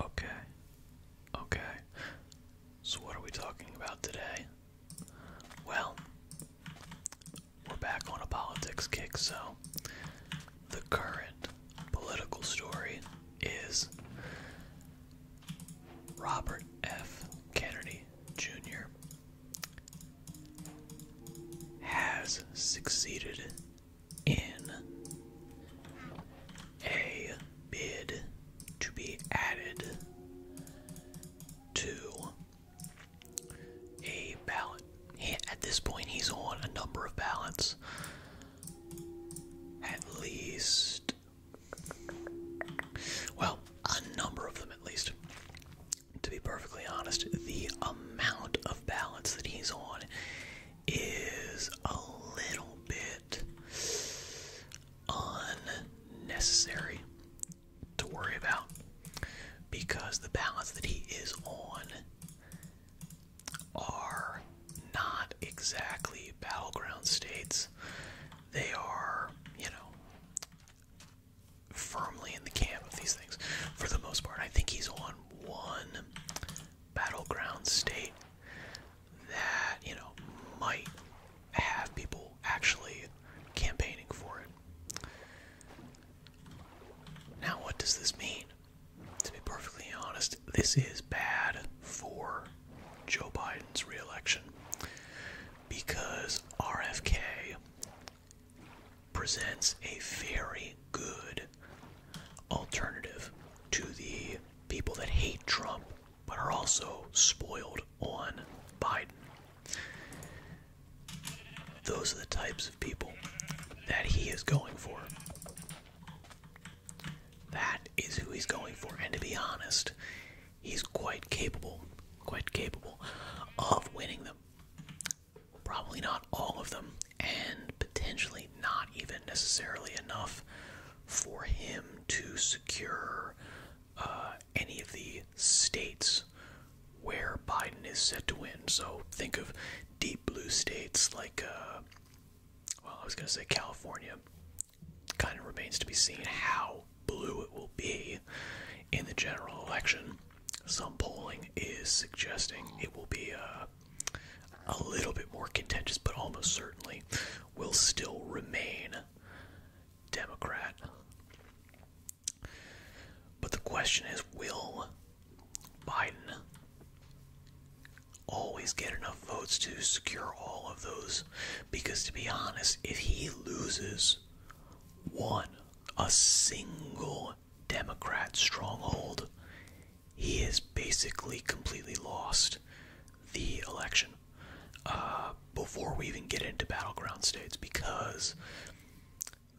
Okay. Okay. So, what are we talking about today? Well, we're back on a politics kick, so the current political story is Robert F. Kennedy Jr. has succeeded in a bid to be added to a ballot. at this point, he's on a number of ballots. At least. Well, a number of them at least. To be perfectly honest, the amount of ballots that he's on is a little bit unnecessary to worry about because the balance that he is on are not exactly battleground states. They are, you know, firmly in the camp of these things for the most part. I think he's on one battleground state that, you know, might have people actually campaigning for it. Now, what does this mean? To be perfectly honest, this is bad for Joe Biden's reelection because RFK presents a very good alternative to the people that hate Trump but are also spoiled on Biden. Those are the types of people that he is going for. That is who he's going for. And to be honest, he's quite capable, quite capable of winning them. Probably not all of them, and potentially not even necessarily enough for him to secure uh, any of the states where Biden is set to win. So think of deep blue states like, uh, well, I was going to say California. Kind of remains to be seen how blue it will be in the general election. Some polling is suggesting it will be a. Uh, a little bit more contentious, but almost certainly will still remain Democrat. But the question is will Biden always get enough votes to secure all of those? Because to be honest, if he loses one, a single Democrat stronghold, he is basically completely lost the election uh, before we even get into battleground states because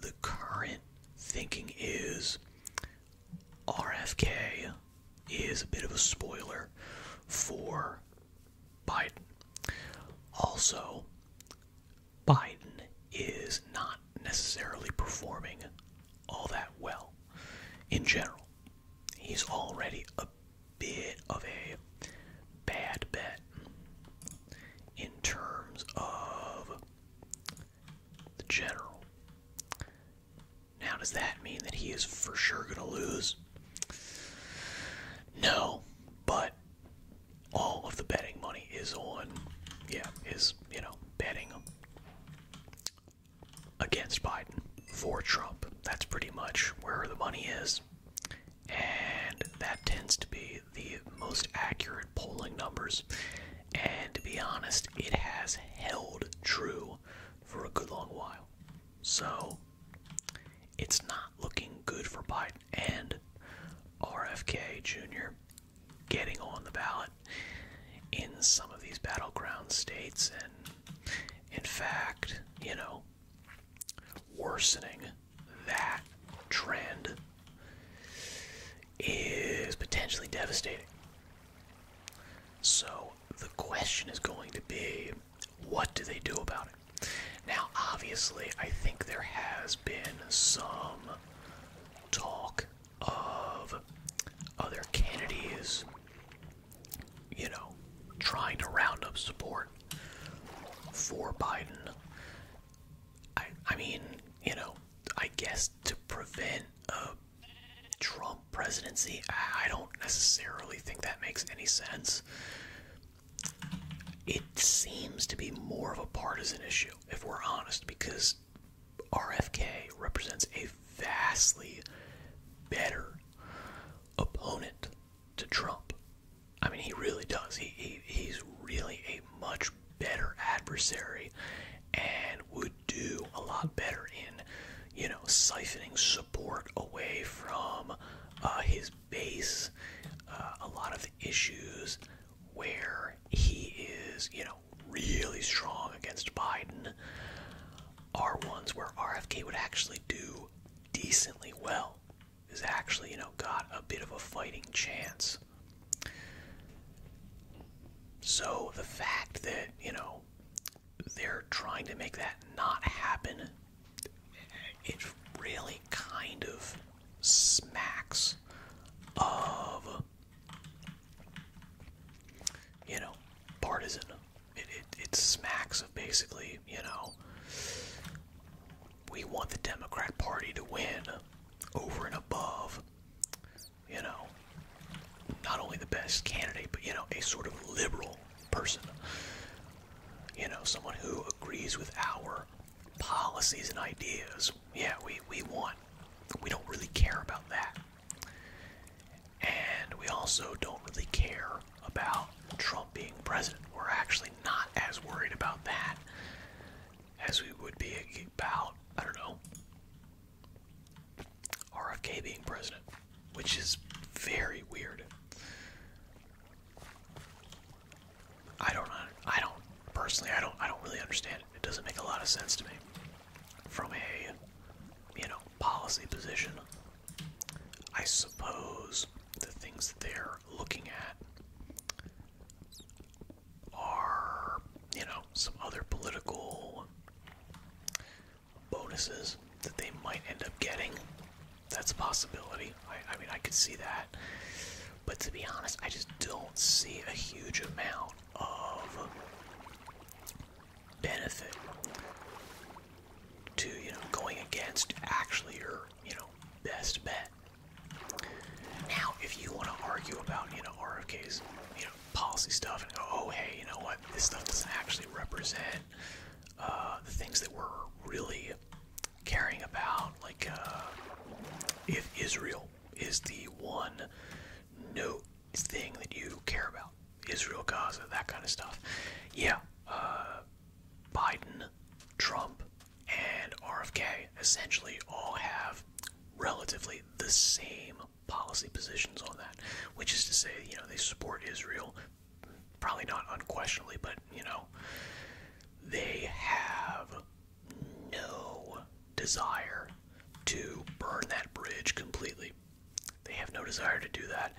the current thinking is RFK is a bit of a spoiler for Biden. Also, Biden is not necessarily performing all that well in general. He's already a bit of a bad bet in terms of the general. Now, does that mean that he is for sure going to lose? No, but all of the betting money is on, yeah, is, you know, betting against Biden for Trump. That's pretty much where the money is. And that tends to be the most accurate polling numbers. And to be honest, it has held true for a good long while. So it's not looking good for Biden. And RFK Jr getting on the ballot in some of these battleground states and in fact, you know, worsening that trend is potentially devastating. So the question is going to be what do they do about it? Now, obviously, I think there has been some talk of other Kennedys, you know, trying to round up support for Biden. I, I mean, you know, I guess to prevent a Trump presidency, I, I don't necessarily think that makes any sense. It seems to be more of a partisan issue, if we're honest, because RFK represents a vastly better opponent to Trump. I mean, he really does. He, he's really a much better adversary, and would do a lot better in, you know, siphoning support away from uh, his base. Uh, a lot of issues where he is, you know, really strong against Biden are ones where RFK would actually do decently well. Is actually, you know, got a bit of a fighting chance. So the fact that, you know, they're trying to make that not happen, it really kind of smacks of you know, partisan. It, smacks of basically, you know, we want the Democrat Party to win over and above, you know, not only the best candidate, but, you know, a sort of liberal person. You know, someone who agrees with our policies and ideas. Yeah, we, we want. We don't really care about that. And we also don't really care about Trump being president. We're actually not as worried about that as we would be about, I don't know, RFK being president, which is very weird. I don't I don't personally I don't I don't really understand it. It doesn't make a lot of sense to me from a you know policy position. I suppose the things that they're looking at are you know some other political bonuses that they might end up getting. That's a possibility. I mean I could see that. But to be honest, I just don't see a huge amount of benefit to, you know, going against actually your, you know, best bet. Now, if you want to argue about, you know, RFK's, you know, policy stuff and go, oh, hey, you know what, this stuff doesn't actually represent uh, the things that we're really caring about, like uh, if Israel is the one note thing that you care about. Israel, Gaza, that kind of stuff. Yeah, uh, Biden, Trump, and RFK essentially all have relatively the same policy positions on that, which is to say, you know, they support Israel, probably not unquestionably, but, you know, they have no desire to burn that bridge completely. They have no desire to do that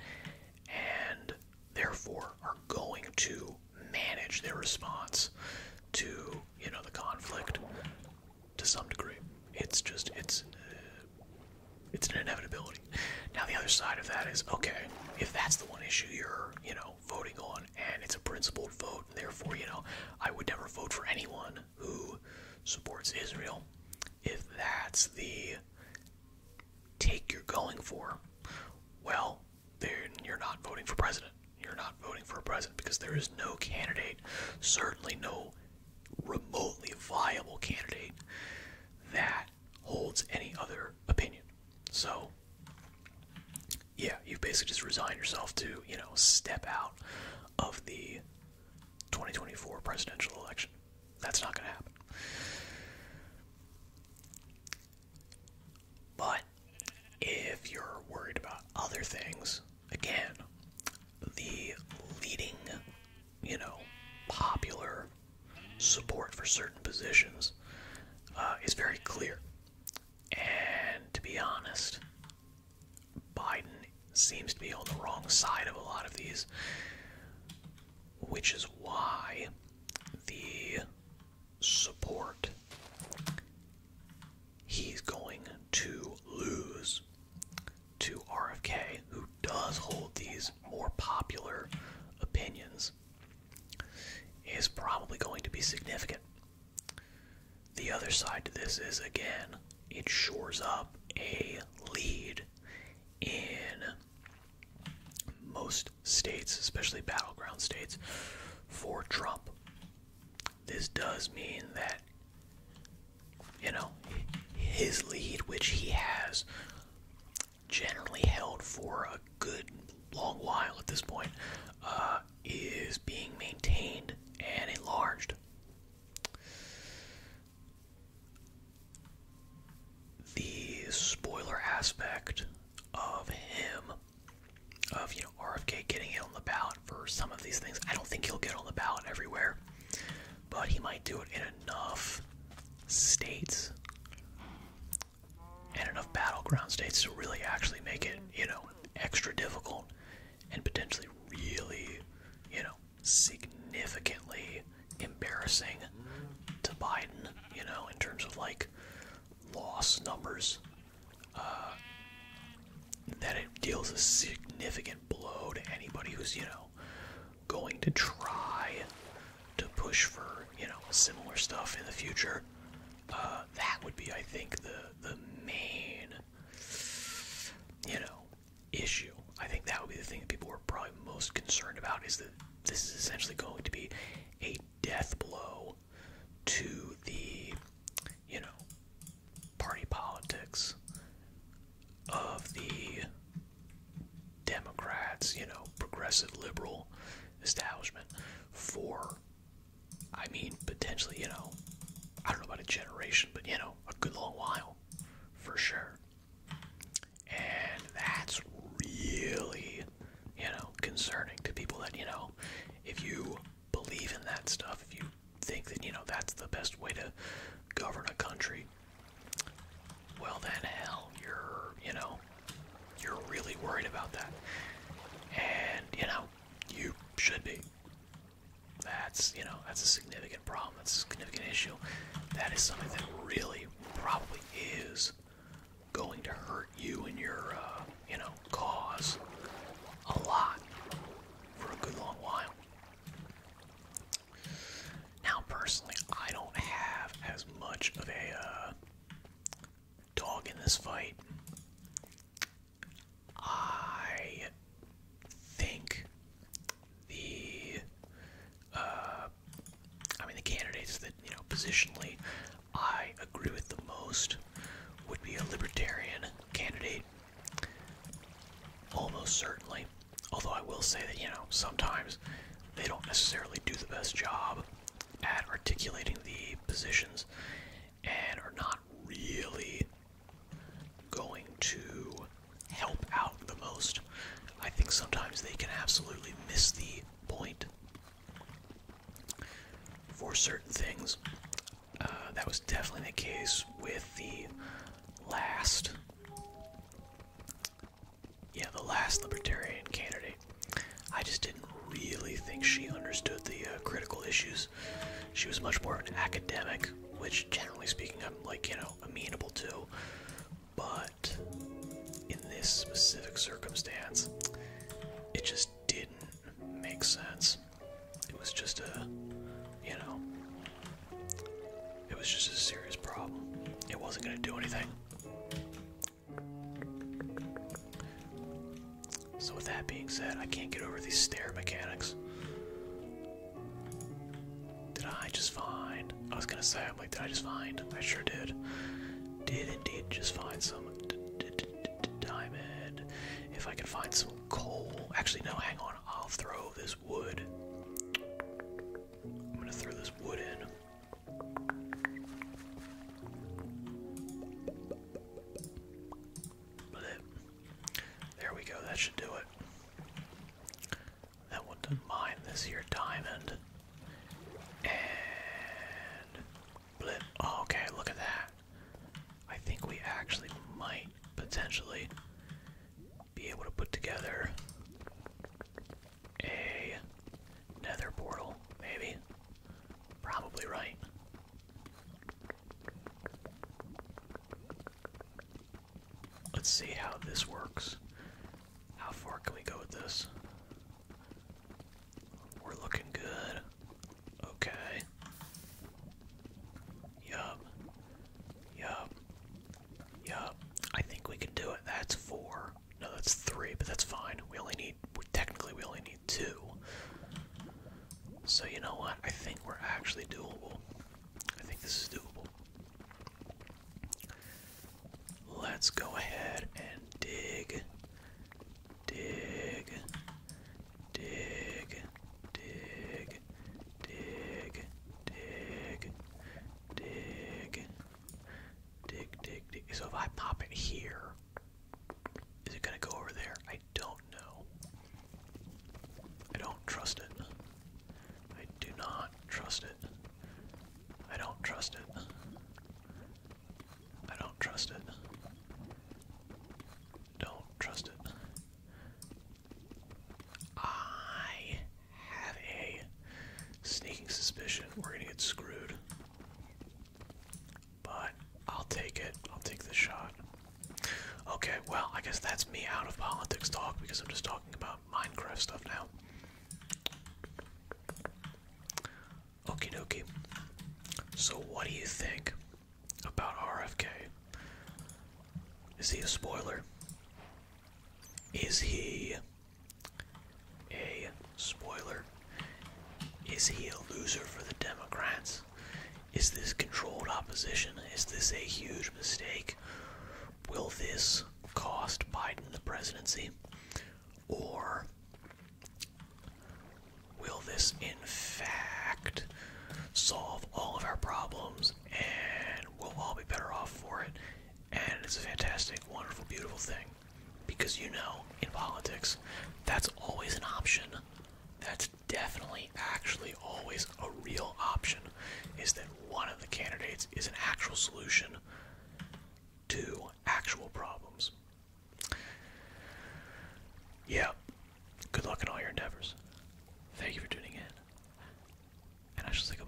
and therefore are going to manage their response to, you know, the conflict to some degree. It's just it's uh, it's an inevitability. Now the other side of that is okay, if that's the one issue you're, you know, voting on, and it's a principled vote, and therefore, you know, I would never vote for anyone who supports Israel if that's the take you're going for. Well, then you're not voting for president. You're not voting for a president because there is no candidate, certainly no remotely viable candidate that holds any other opinion. So yeah, you basically just resign yourself to, you know, step out of the 2024 presidential election. That's not going to happen. But if you're worried about other things, again, the leading, you know, popular support for certain positions uh, is very clear. And to be honest, Biden seems to be on the wrong side of a lot of these, which is why the support he's going to lose to RFK, who does hold these more popular opinions, is probably going to be significant. The other side to this is again, it shores up a lead in most states, especially battleground states, for Trump. This does mean that, you know, his lead, which he has generally held for a good long while at this point, uh, is being maintained and enlarged. The spoiler aspect of him, of you know RFK getting it on the ballot for some of these things, I don't think he'll get on the ballot everywhere, but he might do it in enough states and enough battleground states to really actually make it, you know, extra difficult and potentially really, you know, significantly embarrassing to Biden, you know, in terms of like loss numbers. Uh, that it deals a significant blow to anybody who's, you know, going to try to push for, you know, similar stuff in the future. Uh, that would be, I think, the the main, you know, issue. I think that would be the thing that people are probably most concerned about is that this is essentially going to be a death blow to the, you know, party politics of the Democrats, you know, progressive liberal establishment for I mean, potentially, you know, I don't know about a generation, but you know, a good long while for sure. And that's really, you know, concerning to people that, you know, if you believe in that stuff, if you think that, you know, that's the best way to govern a country, well, then hell, you're, you know, you're really worried about that. And, you know, you should be. That's, you know, that's a significant problem. That's a significant issue. That is something that really probably is going to hurt you and your, uh, you know, cause a lot for a good long while. Now, personally, I don't have as much of a, uh, dog in this fight. I think the uh, I mean the candidates that you know positionally I agree with the most would be a libertarian candidate, almost certainly. Although I will say that you know sometimes they don't necessarily do the best job at articulating the positions and are not really going to help out the most. I think sometimes they can absolutely miss the point for certain things. Uh, that was definitely the case with the last yeah, the last libertarian candidate. I just didn't really think she understood the uh, critical issues. She was much more of an academic, which generally speaking, I'm like, you know, amenable to. But in this specific circumstance, it just didn't make sense. It was just a, you know, it was just a serious problem. It wasn't going to do anything. So with that being said, I can't get over these stair mechanics. Did I just find? I was gonna say, I'm like, did I just find? I sure did. Did indeed just find some diamond. If I can find some coal. Actually, no, hang on. I'll throw this wood. I'm gonna throw this wood in. There we go, that should do it. That went to mine this here diamond. And oh, okay, look at that. I think we actually might potentially be able to put together a nether portal, maybe? Probably right. Let's see how this works. How far can we go with this? We're looking good. Okay. Yup. Yup. Yup. I think we can do it. That's four four. No, that's three, but that's fine. We only need, technically, we only need two. So, you know what? I think we're actually doable. I think this is doable. Let's go ahead and dig, dig, dig, dig, dig, dig, dig, Dig, dig, dig. So if I pop it here, is it gonna go over there? I don't know. I don't trust it. I do not trust it. I don't trust it. I don't trust it. Don't trust it. I have a sneaking suspicion we're gonna get screwed. But I'll take it. I'll take the shot. Okay, well, I guess that's me out of politics talk because I'm just talking about Minecraft stuff now. Okie dokie. So, what do you think about RFK? Is he a spoiler? Is he a spoiler. Is he a loser for the Democrats? Is this controlled opposition? Is this a huge mistake? Will this cost Biden the presidency? Or will this, in fact, solve all of our problems and we'll all be better off for it and it's a fantastic, wonderful, beautiful thing. Because you know, in politics, that's always an option. That's definitely, actually, always a real option. Is that one of the candidates is an actual solution to actual problems. Yeah. Good luck in all your endeavors. Thank you for tuning in. And I shall say goodbye.